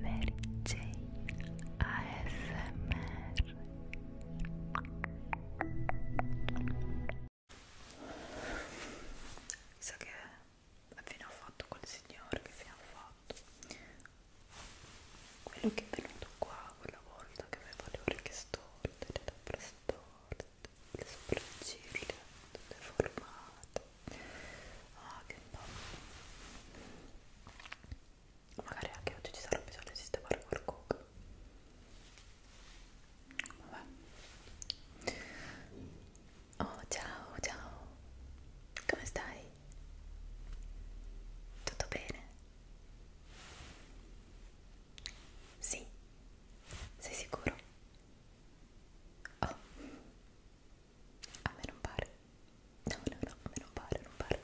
Mary Jane ASMR So che appena ho fatto quel signore che fino ha fatto quello che è venuto qua quella volta che aveva le orecchie storte, le labbra storte, le sopracciglia tutte formate ah che bello magari anche oggi ci sarà bisogno di sistemare qualcosa vabbè oh ciao ciao come stai? tutto bene? sì sei sicuro? Oh a me non pare no no no a me non pare non pare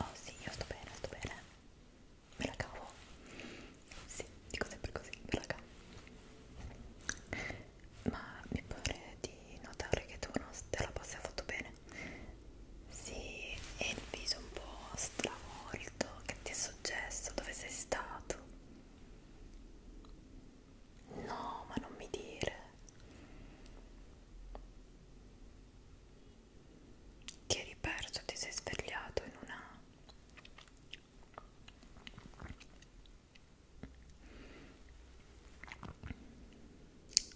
oh sì io sto bene sto bene me la cavo sì dico sempre così me la cavo ma mi pare di notare che tu non te la passi affatto bene sì e il viso un po' stravolto che ti è successo dove sei stato No, ma non mi dire ti eri perso, ti sei svegliato in una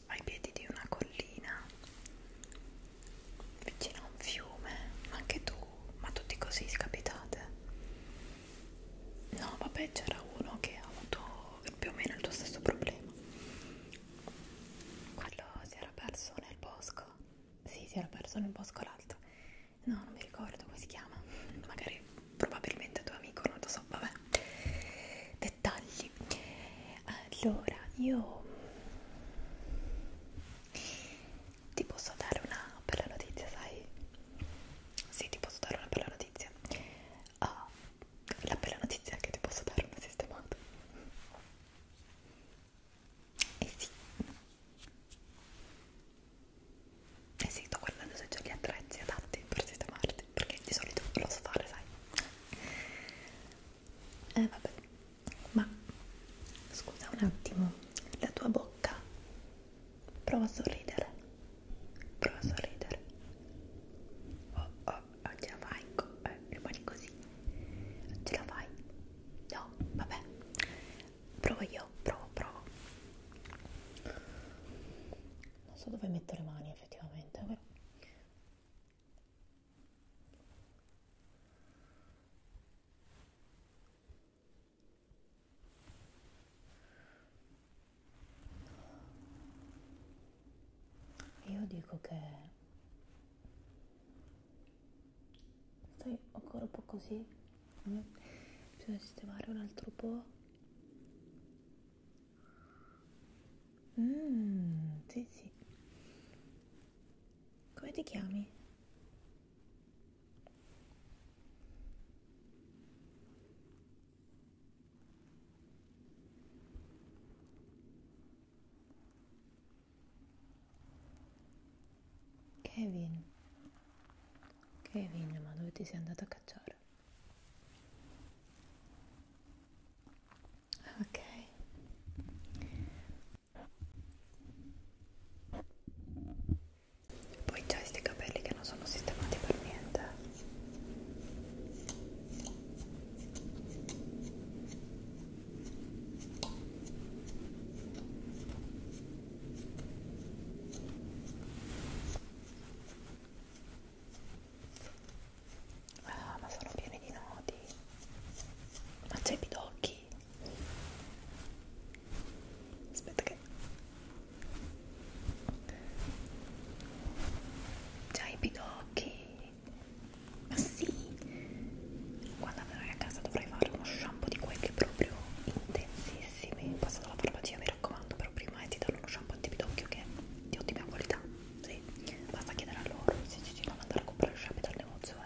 ai piedi di una collina vicino a un fiume, ma anche tu ma tutti così scapitate no vabbè c'era uno che ha avuto più o meno il tuo stesso problema quello si era perso nel bosco sì si era perso nel bosco l'altro no non mi ricordo come si chiama magari probabilmente tuo amico non lo so vabbè dettagli allora io ti posso dare una bella notizia, sai? Sì, ti posso dare una bella notizia. Oh, la bella notizia è che ti posso dare una sistemata. E eh sì. E eh sì, sto guardando se c'è gli attrezzi adatti per sistemarti, perché di solito lo so fare, sai? Eh vabbè ma scusa un attimo la tua bocca prova a sorridere prova a sorridere oh oh, non ah, ce la fai eh, rimani così non ce la fai no vabbè provo io provo provo non so dove metto le mani effettivamente però io dico che stai ancora un po' così, mm. bisogna sistemare un altro po'. Mmm, sì, sì. Come ti chiami? Kevin, Kevin, ma dove ti sei andato a cacciare? Ok, poi c'hai questi capelli che non sono sistemati per niente. Ah, ma sono pieni di nodi. Ma c'è i pidocchi? aspetta che già i pidocchi ma sì quando verrai a casa dovrai fare uno shampoo di quelli proprio intensissimi passa dalla farmacia mi raccomando però prima ti danno uno shampoo antipidocchio che è di ottima qualità sì. basta chiedere a loro se ci devono andare a comprare il shampoo dal negozio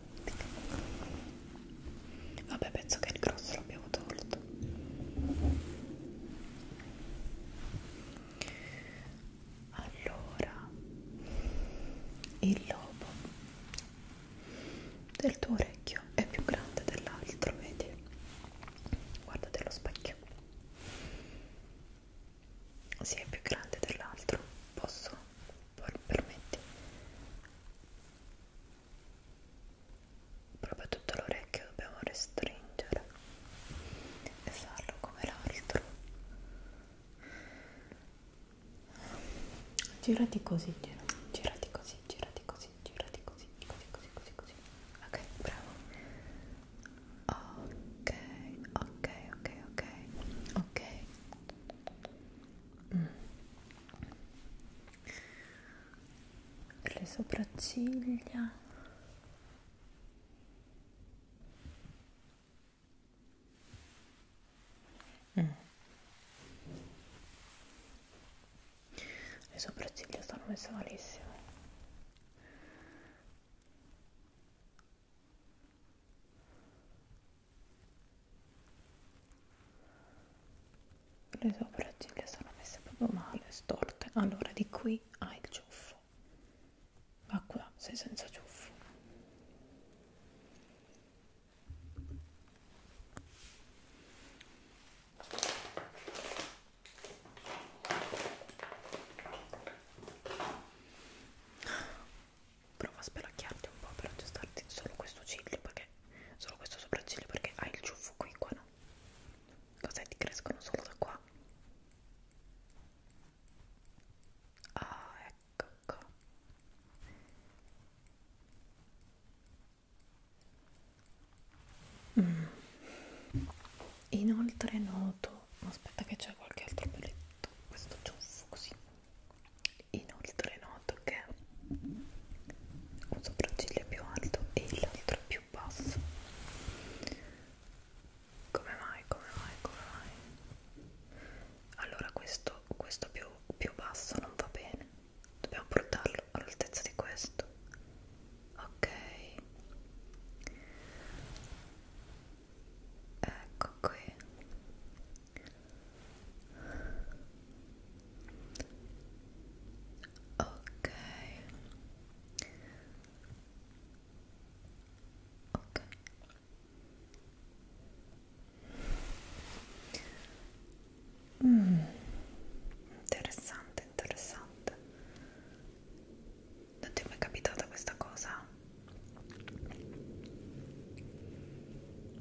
Vabbè, penso che il grosso l'abbiamo tolto. Allora, il lobo del tuo orecchio è più grande dell'altro, vedi? Guardate lo specchio. Si sì, è più grande dell'altro. Posso permetti proprio tutto l'orecchio dobbiamo restringere e farlo come l'altro girati così gira. girati così girati così girati così così così così così ok bravo ok ok ok ok ok Mm. le sopracciglia mm. le sopracciglia stanno messe malissimo le sopracciglia sono messe proprio male, storte. Allora di qui hai il ciuffo. Ma qua sei senza ciuffo provo a spelacchiarti un po' per aggiustarti solo questo ciglio perché solo questo sopracciglio perché hai il ciuffo qui qua no cos'è ti crescono solo da qua ah ecco qua ecco. mm. inoltre noto aspetta che c'è qualche altro pelletto questo ciuffo così inoltre noto che un sopracciglio è più alto e l'altro è più basso come mai, come mai, come mai allora questo, questo più, più basso non va bene dobbiamo portarlo all'altezza di questo ok ecco qui ok ok Mm, interessante, interessante non ti è mai capitata questa cosa?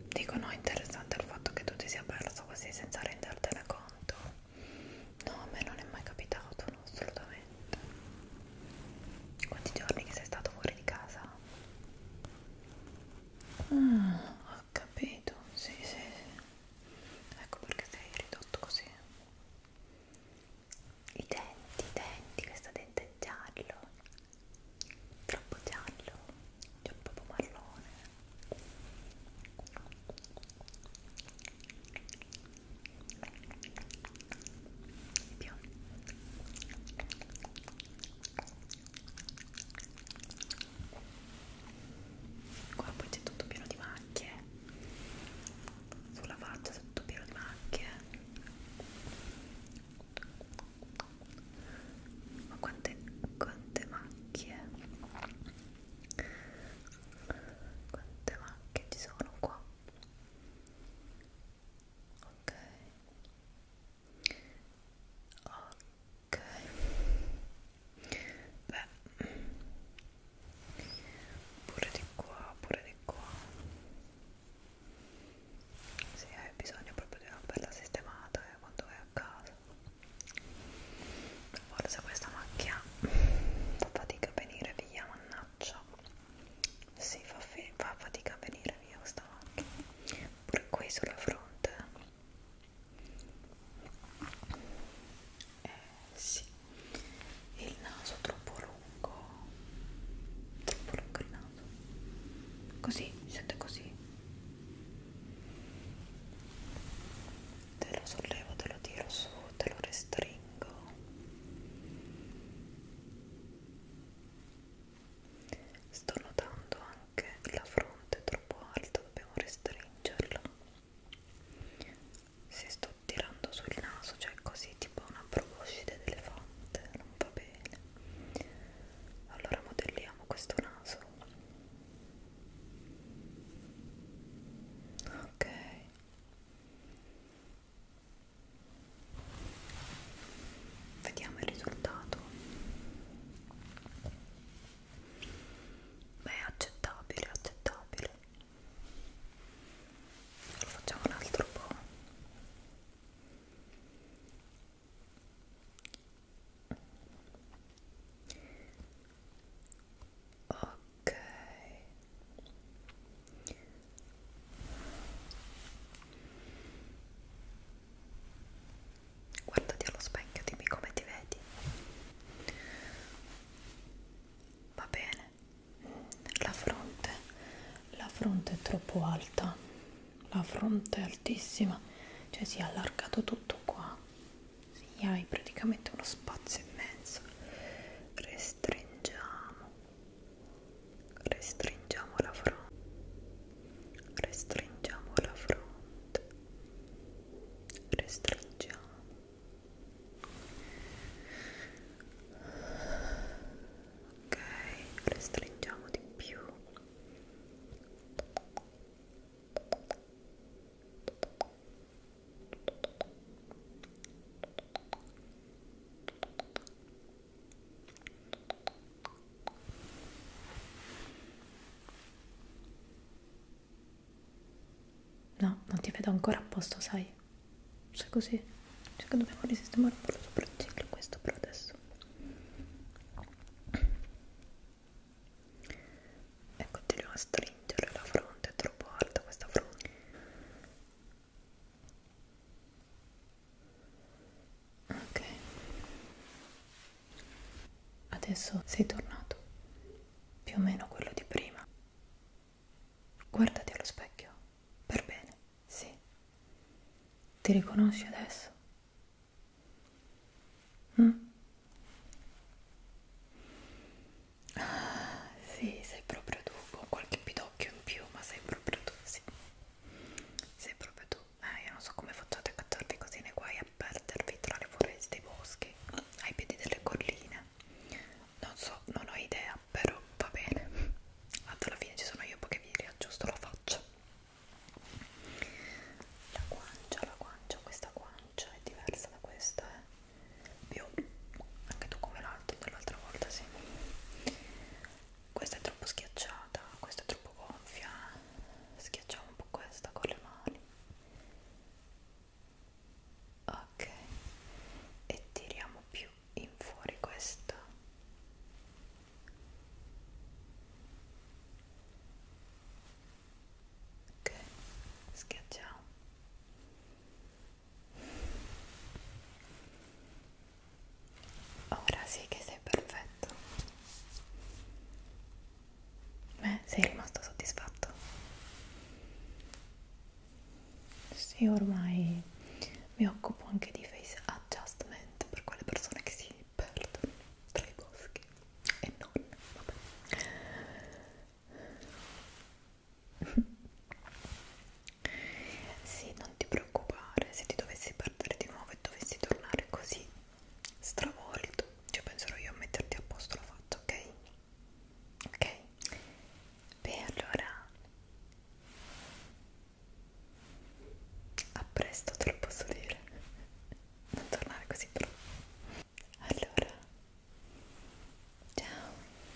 Dico no, interessante il fatto che tu ti sia perso così senza rendertene conto. No, a me non è mai capitato, no, assolutamente. Quanti giorni che sei stato fuori di casa? Ah, ho capito, sì, sì, sì. Ecco perché sei ridotto così i denti, i denti, questo dente è giallo, troppo giallo, c'è un po' marrone più qua poi c'è tutto pieno di macchie sulla faccia sei tutto pieno di macchie ma quante, quante macchie quante macchie ci sono qua ok ok beh pure di qua, pure di qua se hai bisogno proprio di una bella sistemata eh, quando vai a casa forse questa macchia fa fatica a venire via, mannaggia si fa, fa fatica a venire via questa macchia pure qui sulla fronte eh sì il naso troppo lungo troppo lungo il naso così mi sento così te lo sollevo te lo tiro su te lo restringo sto notando anche la fronte troppo alta dobbiamo restringerla se sto tirando sul naso, cioè così tipo una proboscide d'elefante, non va bene. Allora modelliamo questo naso. Ok. Vediamo il risultato. Beh, accettabile, accettabile lo facciamo un altro po' ok guardati allo specchio dimmi come ti vedi va bene la fronte la fronte è troppo alta la fronte è altissima cioè si è allargato tutto qua si hai praticamente uno spazio immenso restringiamo restringiamo la fronte restringiamo la fronte restringiamo ok restringiamo di più ok No, non ti vedo ancora a posto, sai? Sei così? Cioè che dobbiamo risistemare un po' lo sopracciglio questo per adesso. E continuo a stringere la fronte, è troppo alta questa fronte. Ok. Adesso sei tornato più o meno quello di prima. Guardati allo specchio, per bene, sì. Ti riconosci adesso? Mm? Ah, sì, sei proprio tu, con qualche pidocchio in più, ma sei proprio tu, sì. Sei proprio tu. Eh, io non so come facciate a catturarti così nei guai a perdervi tra le foreste e i boschi, ai piedi delle colline. Non so, non ho idea, però va bene. Alla fine ci sono io che vi riaggiusto la faccia. La guancia, la guancia, questa guancia è diversa da questa, eh? Più anche tu come l'altro dell'altra volta, sì. Questa è troppo schiacciata, questa è troppo gonfia. Schiacciamo un po' questa con le mani ok e tiriamo più in fuori questo ok schiacciamo ora sì che sei perfetto Beh, sei rimasto soddisfatto? Sì, ormai mi occupo anche di face adjustment per quelle persone che si perdono tra i boschi e non, vabbè. sì, non ti preoccupare, se ti dovessi perdere di nuovo e dovessi tornare così stravolto cioè penserò io a metterti a posto la faccia ok ok beh allora a presto te lo posso dire non tornare così però allora ciao